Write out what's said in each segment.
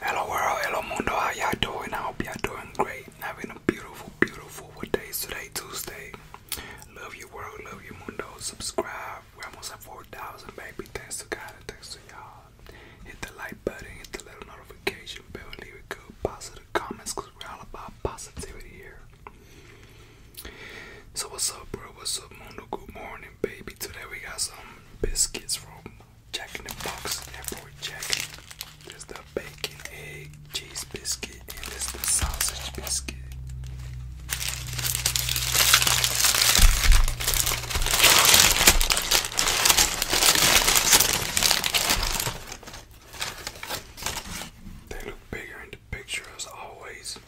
Hello world, hello mundo, how y'all doing? I hope y'all doing great. Having a beautiful, beautiful what day is today? Tuesday. Love you world, love you mundo. Subscribe. We're almost at 4,000 baby. Thanks to God thanks to y'all. Hit the like button, hit the little notification bell, leave a good positive comments because we're all about positivity here. So what's up bro? What's up Mundo? Good morning baby. Today we got some biscuits from Jack in the Box Airport Jack. There's the bacon, egg, cheese biscuit, and there's the sausage biscuit. They look bigger in the picture as always.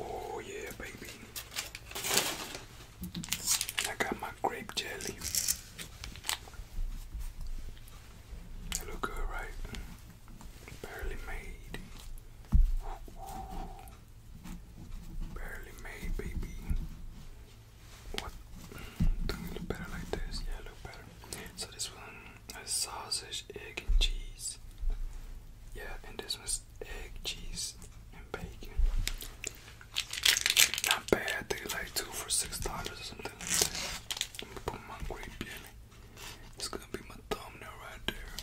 Oh, yeah, baby. I got my grape jelly. look good, right? Barely made. Barely made, baby. What? do look better like this. Yeah, look better. So this one is sausage, egg, and cheese. Yeah, and this one's egg, cheese, and bacon. Not bad. They like two for six dollars or something like that. It's gonna be my thumbnail right there.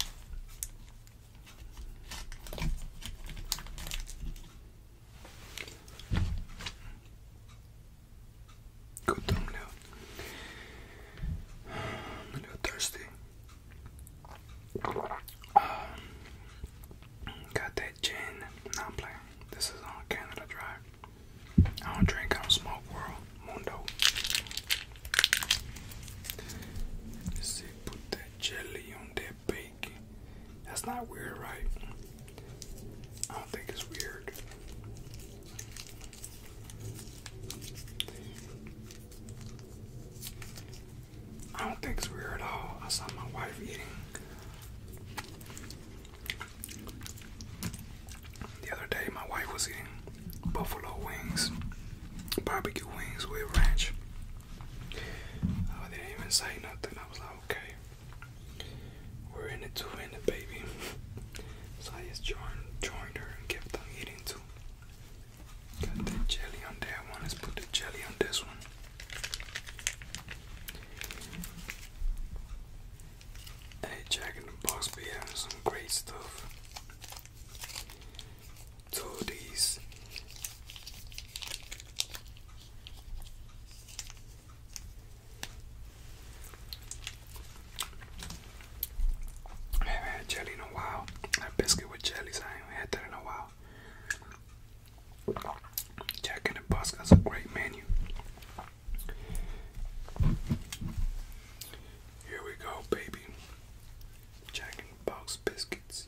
Good thumbnail. a little thirsty. Um, got that gin. Not playing. This is on Canada Dry. I don't drink. I don't smoke. World. Let's see, put that jelly on that bacon. That's not weird, right? I don't think it's weird. I don't think it's weird at all. I saw my wife eating. The other day, my wife was eating buffalo wings, barbecue wings with ranch. Uh, they didn't even say nothing. I was like, okay, we're in it to in it, baby. So I just joined, joined her and kept on eating too. Got the jelly on that one. Let's put the jelly on this one. Hey, Jack and the Box be having some great stuff. Two of these. I haven't had jelly in a while. That biscuit with jellies, I ain't had that in a while. Jack in the Box got a great menu. Here we go, baby. Jack in the Box biscuits.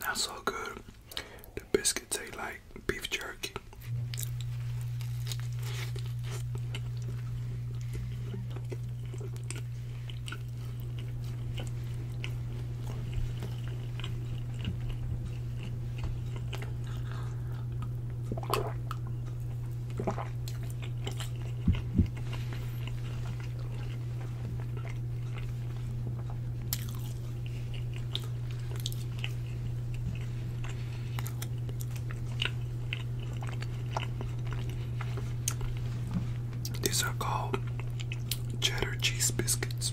That's all good. The biscuits taste like beef jerky. These are called cheddar cheese biscuits.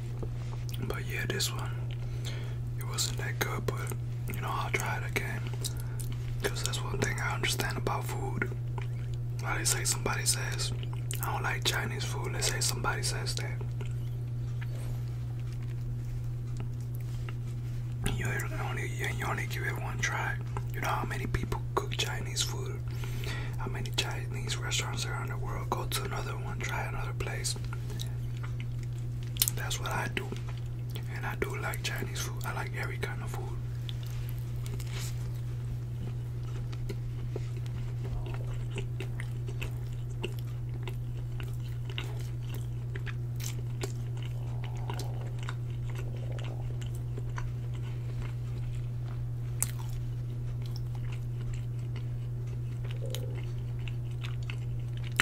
But yeah, this one, it wasn't that good, but you know, I'll try it again. Because that's one thing I understand about food. Why they say somebody says, I don't like Chinese food, let's say somebody says that. You only, you only give it one try. You know how many people cook Chinese food? How many Chinese restaurants around the world go to another one, try another place? That's what I do. And I do like Chinese food. I like every kind of food.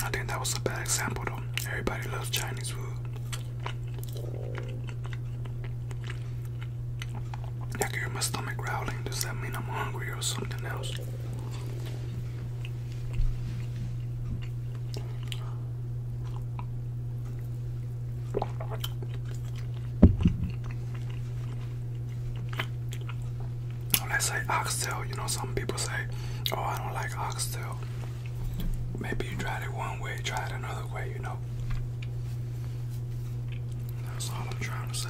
I think that was a bad example though. Everybody loves Chinese food. I can hear my stomach growling. Does that mean I'm hungry or something else? let's say oxtail, you know, some people say, oh, I don't like oxtail. Maybe you try it one way, try it another way, you know. That's all I'm trying to say.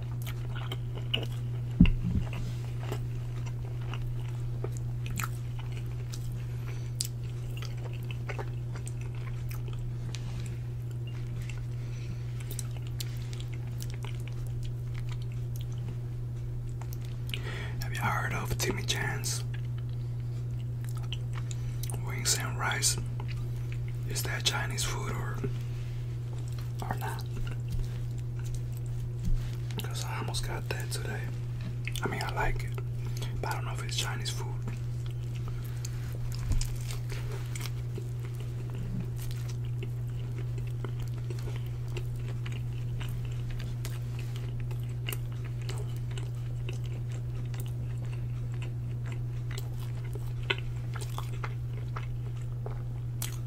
Have you heard of Timmy Chance? Wings and rice. Is that Chinese food or or not. Because I almost got that today. I mean, I like it, but I don't know if it's Chinese food.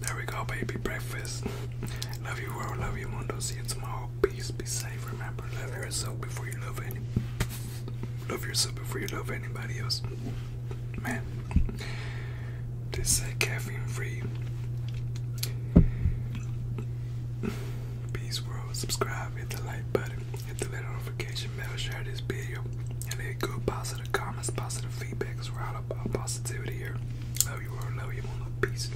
There we go, baby. Breakfast. love you, world. Love you, mundo. See you tomorrow. Peace, be safe. Remember, love yourself before you love any. Love yourself before you love anybody else. Man, This is caffeine free. Peace, world. Subscribe, hit the like button, hit the little notification bell, share this video, and leave good positive comments, positive feedback. Cause we're all about positivity here. Love you, world. Love you, world. Peace.